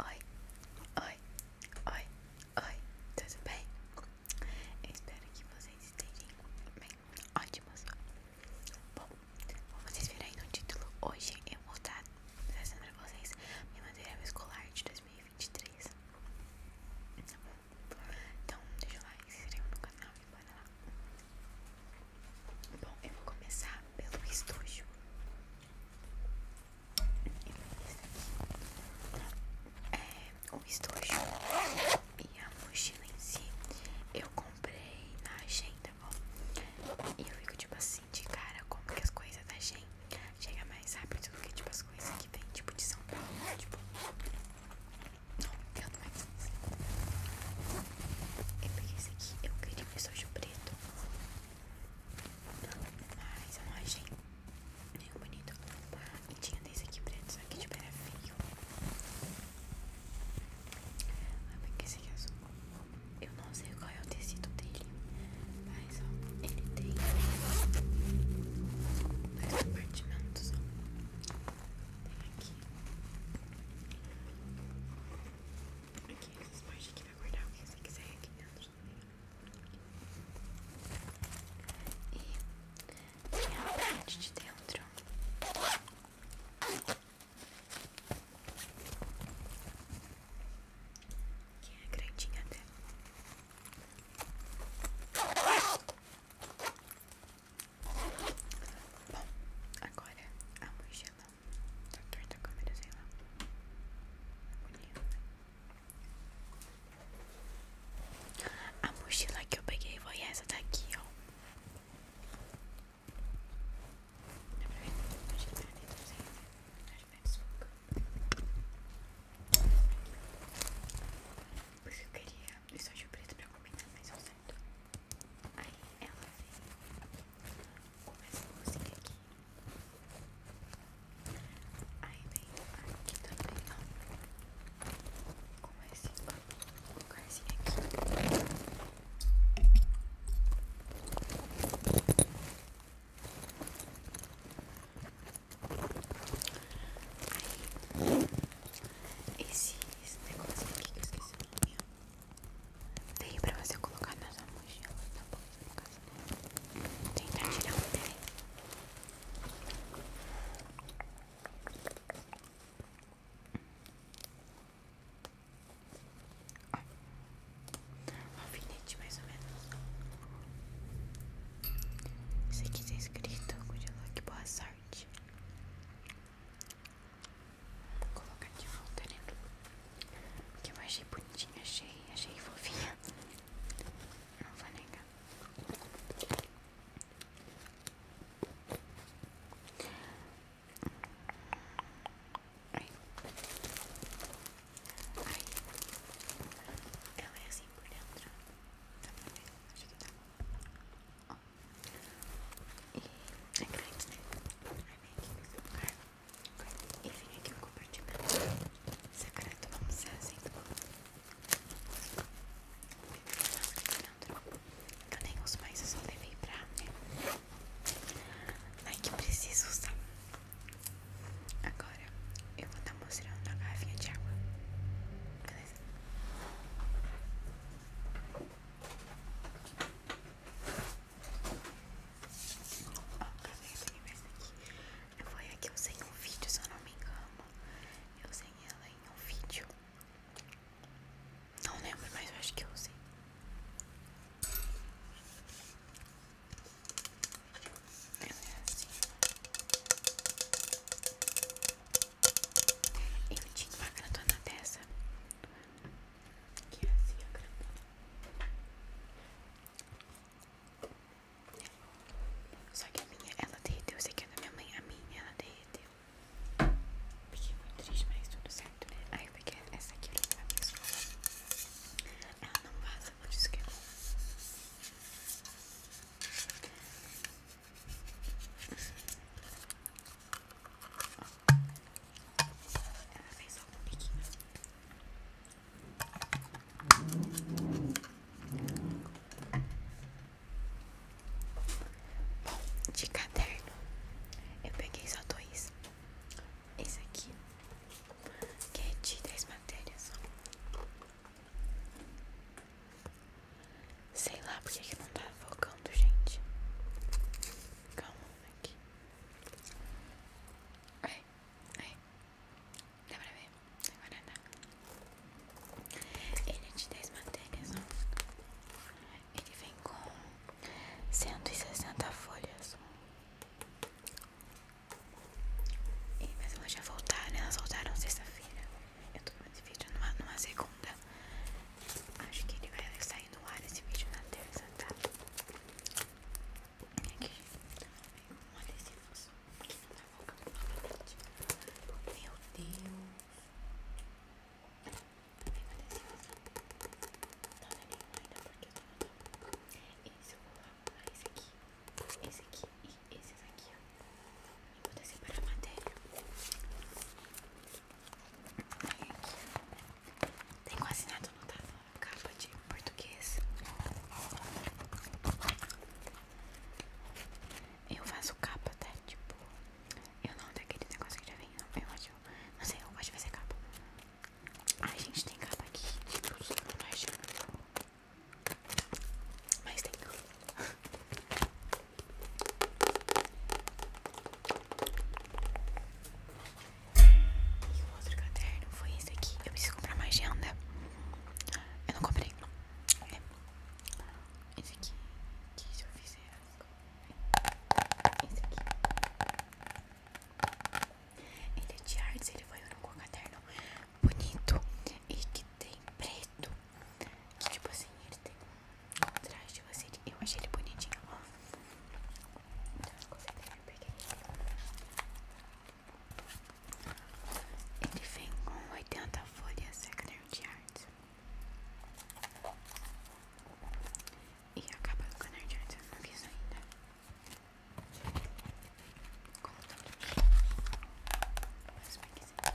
Oi, oi, oi, oi, tudo bem? Eu espero que vocês estejam bem, ótimos. Bom, como vocês viram aí no título, hoje eu vou estar trazendo pra vocês minha material escolar de 2023. Tá bom? Então, deixa eu lá, se inscreva no canal e bora lá. Bom, eu vou começar pelo estojo. É, o estojo e a mochila em si eu comprei na agenda, bom. E eu fico tipo assim, de cara, como que as coisas da agenda chegam mais rápido do que tipo as coisas que vem tipo de São Paulo, né? tipo. Não entendo mais é isso. Eu peguei esse aqui, eu queria um estojo preto. Mas a não é nenhum bonita E tinha desse aqui preto, só que de tipo, era feio. Ah, porque esse aqui é azul. Eu não sei qual é o tecido dele. Mas ó, ele tem dois compartimentos. Tem aqui. Aqui, essas partes aqui gente vai guardar o que você quiser aqui dentro e tem a parte de dentro que é grandinha até Bom, agora a mochila Tá torta a câmera, sei lá. Bonito, A mochila que eu peguei foi essa daqui, ó. Dá pra ver? Acho que tá dentro, não sei. Acho que tá desfoca. Porque eu queria estojinho preto pra combinar, mas eu certo. Aí ela veio com essa música Aí vem aqui também, ó. Com esse lugarzinho aqui. Aí, esses negocinhos aqui que eu esqueci o nome, Veio pra você colocar na sua mochila, na tá bolsa, no caso, né? Tentar tirar um pé. Ó, um alfinete mais ou menos. Isso aqui tá escrito, good luck, boa sorte. Vou colocar aqui o voltarino que eu achei bonitinho, achei, achei fofinha. Não vou negar. Ai. Ai. Ela é assim por dentro. Tá bom, né? acho que tá bom. E é grande, né? Ai, vem aqui e vem aqui um compartimento secreto, vamos ser assim. Não, não, eu nem uso mais, eu só levei pra. Né? Ai, que preciso usar. Agora eu vou estar tá mostrando a garrafinha de água. Beleza? Ó, tá vendo essa aqui? Foi aqui eu usei um vídeo, se eu não me engano. Eu usei ela em um vídeo. Não lembro, mas eu acho que eu usei. Ela é assim. Eu tinha uma gratona dessa que é assim a grandona. Só que a minha, ela derreteu. Essa aqui é da minha mãe, a minha, ela derreteu. Fiquei muito triste, mas tudo certo, né? Aí é eu é? essa aqui é Ela ah, não vaza, por isso ela fez só um biquinho. Bom, de caderno eu peguei só dois. Esse aqui, que é de 10 matérias. Sei lá porque que não tá focando, gente. Calma aqui. Ai, ai. Dá pra ver? Agora dá. Ele é de 10 matérias, Ele vem com 160 folhas. E, mas elas já voltaram, né? elas voltaram sexta-feira. Eu tô com esse vídeo numa segunda. Acho que ele vai sair no ar esse vídeo na terça, tá? E aqui um adesivo aqui na boca novamente. Meu Deus! Tem um adesivo Tá nenhum ainda porque eu tô notando. Esse eu vou arrumar, esse aqui, esse aqui e esses aqui, ó. vou descer para a matéria. Aqui. Tem quase nada no tá? capa de português. Eu faço capa, até Tipo, eu não daquele negócio que já vem, não. Eu acho, não sei, eu gosto de fazer capa. a gente, tem capa aqui. Tipo, eu não tô achando. Mas tem. E o outro caderno foi esse aqui. Eu preciso comprar mais agenda. Né? Eu não comprei. É. Esse aqui. Que se eu fizer. Esse aqui. Ele é de artes, ele foi um caderno bonito e que tem preto. Que tipo assim, ele tem atrás de você. Eu achei ele bonitinho, ó. Então, consegue ver porque ele vem com 80 folhas da caderno de arte. E acaba capa do caderno de arte eu não quis ainda. Como todos. Mas vai que sim.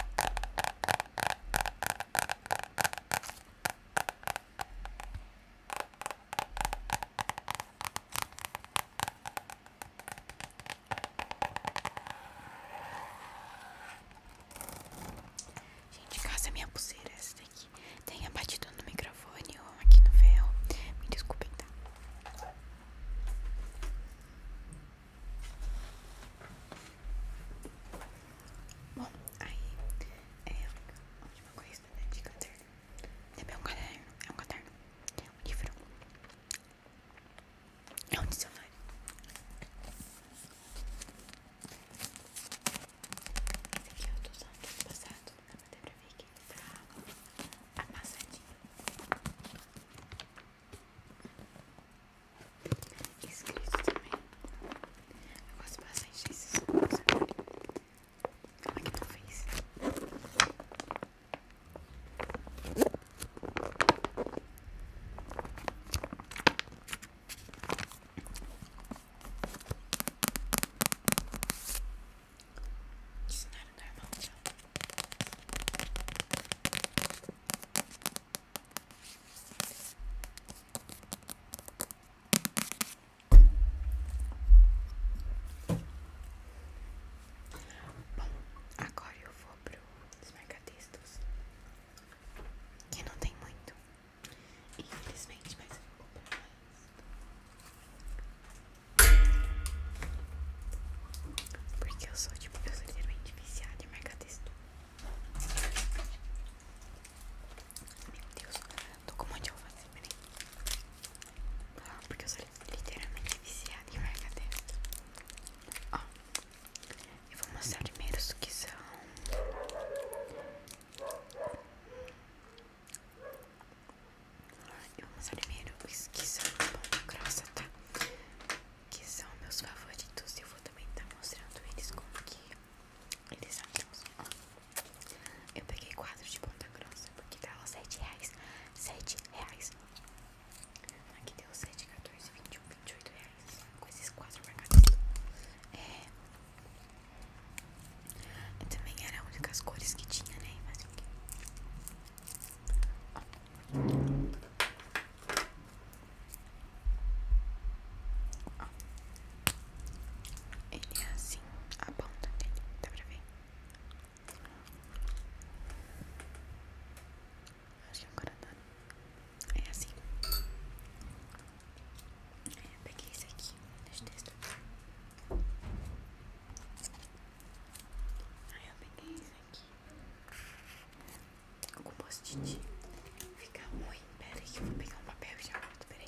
Gente, casa minha pulseira, essa daqui tenha batido no microfone ou aqui no ferro. Me desculpem, tá? Bom, aí é a última coisa né, de caderno. Também é um caderno, é um caderno, é um livro, é um dicionário. Esse aqui eu tô usando passado, dá pra ver que ele tá amassadinho. Escrito também eu gosto bastante desses sons. Como é que não fez? Isso não era normal, não. Bom, agora eu vou pro os que não tem muito, infelizmente, mas eu vou comprar mais. Porque eu sou, tipo, eu sou literalmente viciada de mercadista. Meu Deus, tô com um monte de alface, assim, peraí. Ah, porque eu sou literalmente viciada em marca dessas. Ó, eu vou mostrar primeiro os que são. Ah, eu vou mostrar primeiro os que são pão grossa, tá? Que são meus favoritos. e Eu vou também estar tá mostrando eles como que eles andam. Eu peguei quadro de ponta grossa porque tava 7 reais. 7 reais. Aqui deu 7, 14, 21, 28 reais. Com esses quatro marcadores. É. Eu também era a única cores que tinha, né? Mas o quê? Ó. Ele é assim, a ponta dele, dá pra ver? Acho que agora dá. É assim. É, eu peguei isso aqui, deixa eu testar. Aí eu peguei isso aqui com post fica ruim. Pera que vou pegar um papel já volto, peraí.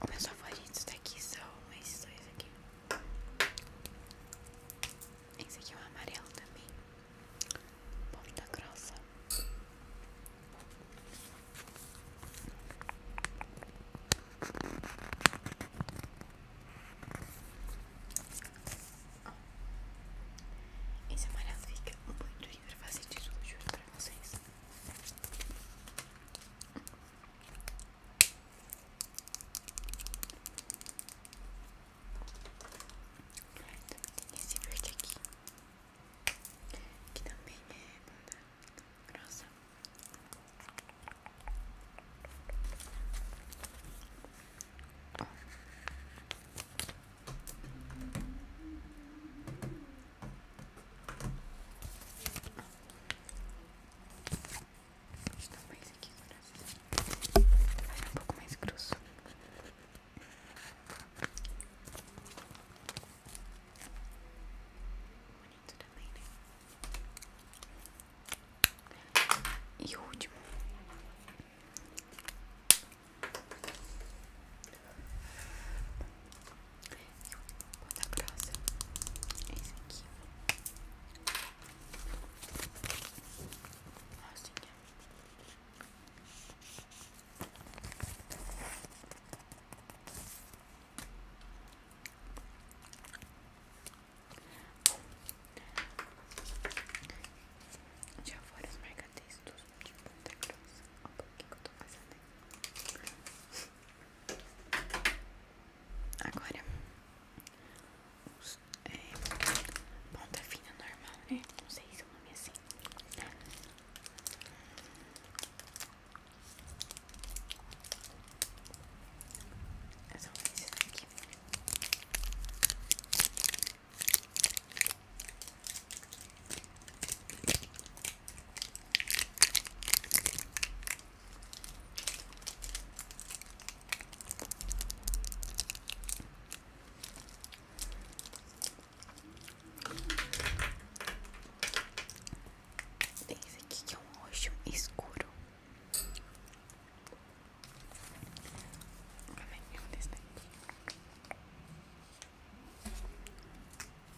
Os meus favoritos daqui são esses dois aqui. Esse aqui é um amarelo também. Ponta grossa. Esse amarelo fica muito lindo pra fazer tesouro, juro pra vocês. Tem esse verde aqui, que também é bunda grossa. Está mais aqui agora. um pouco mais grosso. Bonito também, né? E o último. Vou na próxima. Esse aqui. Rosinha. Já foram os marcatextos de ponta grossa. Olha o que eu tô fazendo aqui. Agora, os, é, ponta fina normal, né? Não sei se o nome é assim. Eu é só fiz isso tem esse aqui que é um roxo escuro.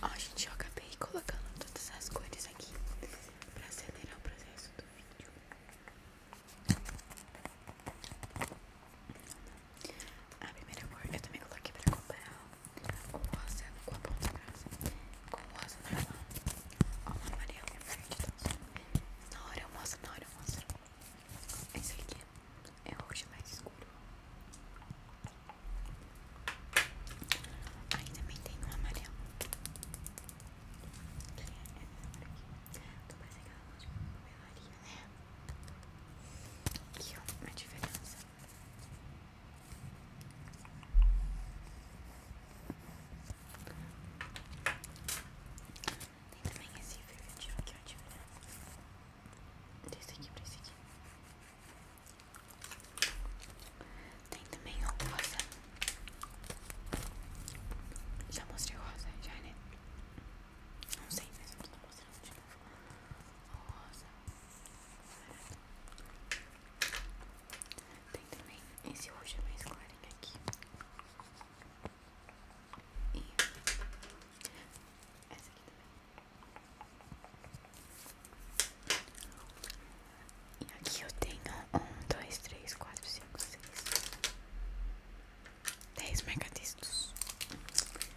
Ó, gente, eu acabei colocando todas as cores aqui pra acelerar o processo do vídeo. A primeira cor eu também coloquei pra comparar o rosa com a ponta grossa, com o rosa normal, ou o amarelo e o verde. na hora eu mostro, na hora eu mostro. Esse aqui é o roxo mais escuro. Aí também tem um amarelo. Que é essa cor aqui. Tô parecendo aquela luz de né? Aqui, ó, uma diferença. Tem também esse verde aqui, ó, de branco. Desse aqui pra esse aqui. Tem também o rosa. Já mostrei o rosa, já, né? Não sei, mas eu não mostrei rosa. Tem também esse roxo mais clarinho aqui. E essa aqui também. E aqui eu tenho um, dois, três, quatro, cinco, seis. 10 megadistos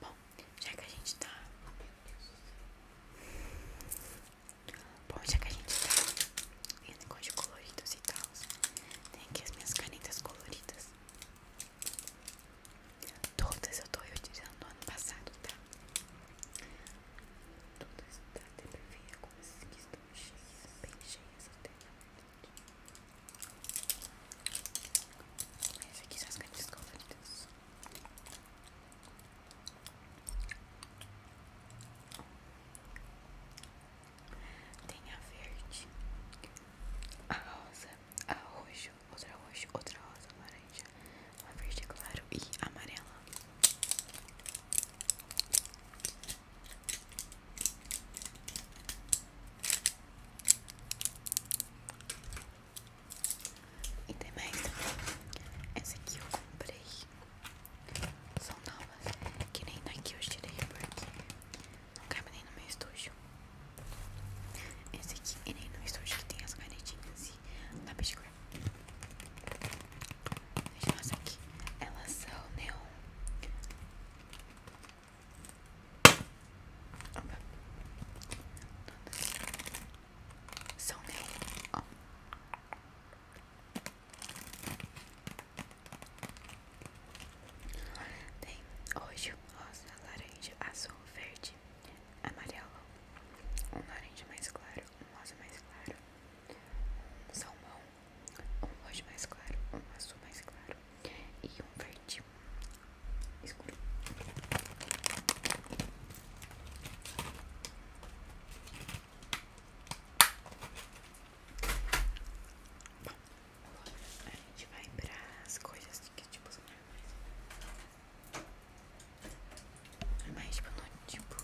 Bom, já que a gente tá. Bom, já que a gente tá em negócio de coloridos e tal, tem aqui as minhas canetas coloridas. Todas eu tô utilizando ano passado, tá? Todas da TPV, coisas que estão cheias, bem cheias até na verdade. Mas aqui são as grandes conferidas. Tem a verde, a rosa, a roxo, outra roxo, outra rosa, laranja, a verde é claro e amarela. E tem mais Essa aqui eu comprei São novas Que nem daqui eu tirei porque Não cabe nem no meu estúdio Esse aqui E nem no estúdio que tem as canetinhas E lápis de cor Deixa aqui Elas são neon são neon. Tem hoje rosa, laranja, azul, verde, amarelo, um laranja mais claro, um rosa mais claro, um salmão, um roxo mais claro, um azul mais claro, e um verde escuro. Bom, agora a gente vai para as coisas que tipo são mais Normais, tipo, não, tipo.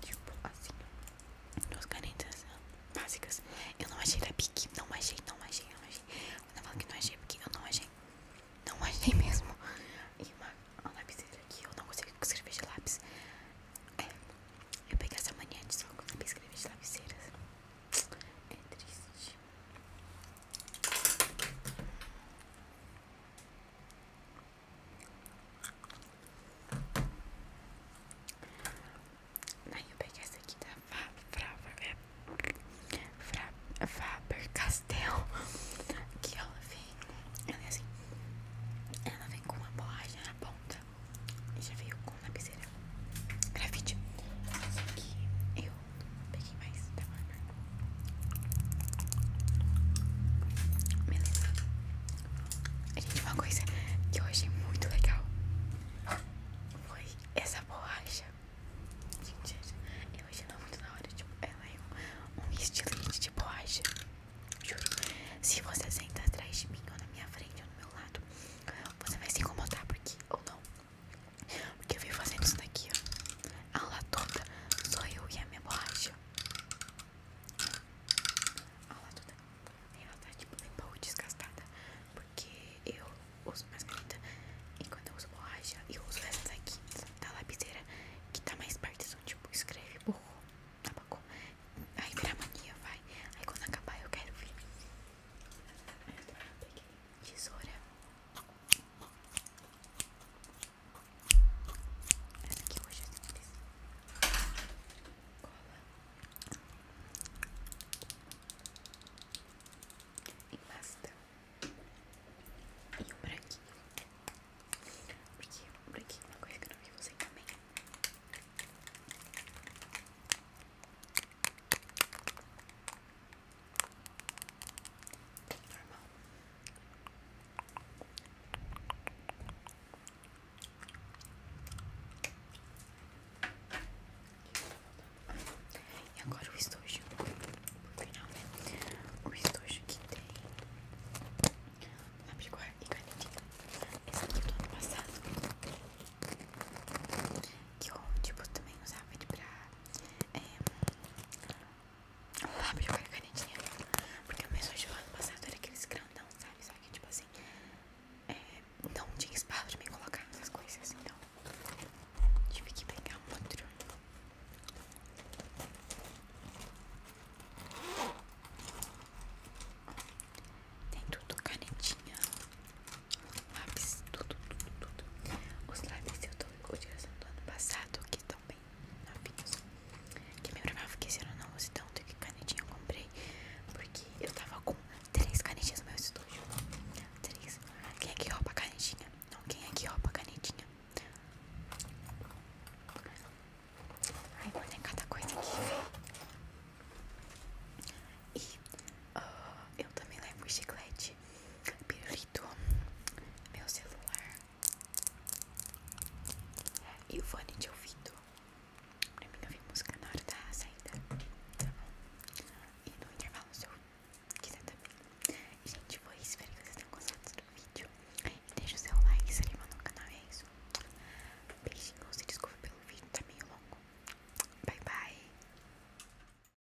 Tipo assim, duas canetas né, básicas. Eu não achei da Bic, não achei, não achei, não achei. eu não achei, é porque eu não achei. Não achei mesmo. E uma, uma aqui, eu não consigo escrever de lápis. É, eu peguei essa mania de só conseguir escrever de lapiseiras. É triste. Aí eu peguei essa aqui da Faber é, Fra, Faber Castell. Que ela vem. Ela é assim, vem com uma borracha na ponta. E já veio com uma lapiseira grafite. Essa aqui eu eu peguei mais da Marmar. Mas, gente, uma coisa que eu achei muito legal foi essa borracha. Gente, eu achei ela muito na hora. Tipo, ela é um, um estilete de borracha. Juro. Se você senta atrás de mim ou na minha frente ou no meu lado, você vai se incomodar porque, ou não. Porque eu vim fazendo isso daqui, ó. A aula toda, só eu e a minha borracha. A aula toda, ela tá tipo um pouco desgastada. Porque eu uso mascarita e quando eu uso borracha, eu uso essa daqui, da lapiseira, que tá mais perto, são tipo, escreve burro, abacou. Aí vira mania, vai. Aí quando acabar eu quero ver. Tesoura. Essa aqui hoje é simples. Cola. E pasta. E o branquinho. Porque o branquinho é uma coisa que eu não vi você também normal. E agora o estojo, por final, né? O estojo aqui tem abrigor e canetinha. Esse aqui é do ano passado. Que eu, tipo, também usava ele pra é, um lápis a canetinha. Porque o meu do ano passado era aqueles grandão, sabe? Só que, tipo assim, é, não tinha espaço de me colocar essas coisas. Então, tive que pegar um outro. Tem tudo canetinha, lápis, tudo, tudo, tudo. Os lápis eu tô utilizando do ano passado, que estão bem novinhos. Que é me provava que esse ano não use tanto que canetinha eu comprei. Porque eu tava com três canetinhas no meu estúdio. Três. Quem é que rouba a canetinha? Não, quem é que rouba a canetinha? Ai, mano, cada coisa aqui, véi. E ah, eu também levo chiclete gente. Pirulito, meu celular e o fone de ouvido pra mim ouvir música na hora da saída, tá bom? E no intervalo, se eu quiser também. gente, foi Espero que vocês tenham gostado do vídeo. deixa o seu like, se anima no canal, é isso. Beijinhos se desculpa pelo vídeo, tá meio longo. Bye, bye.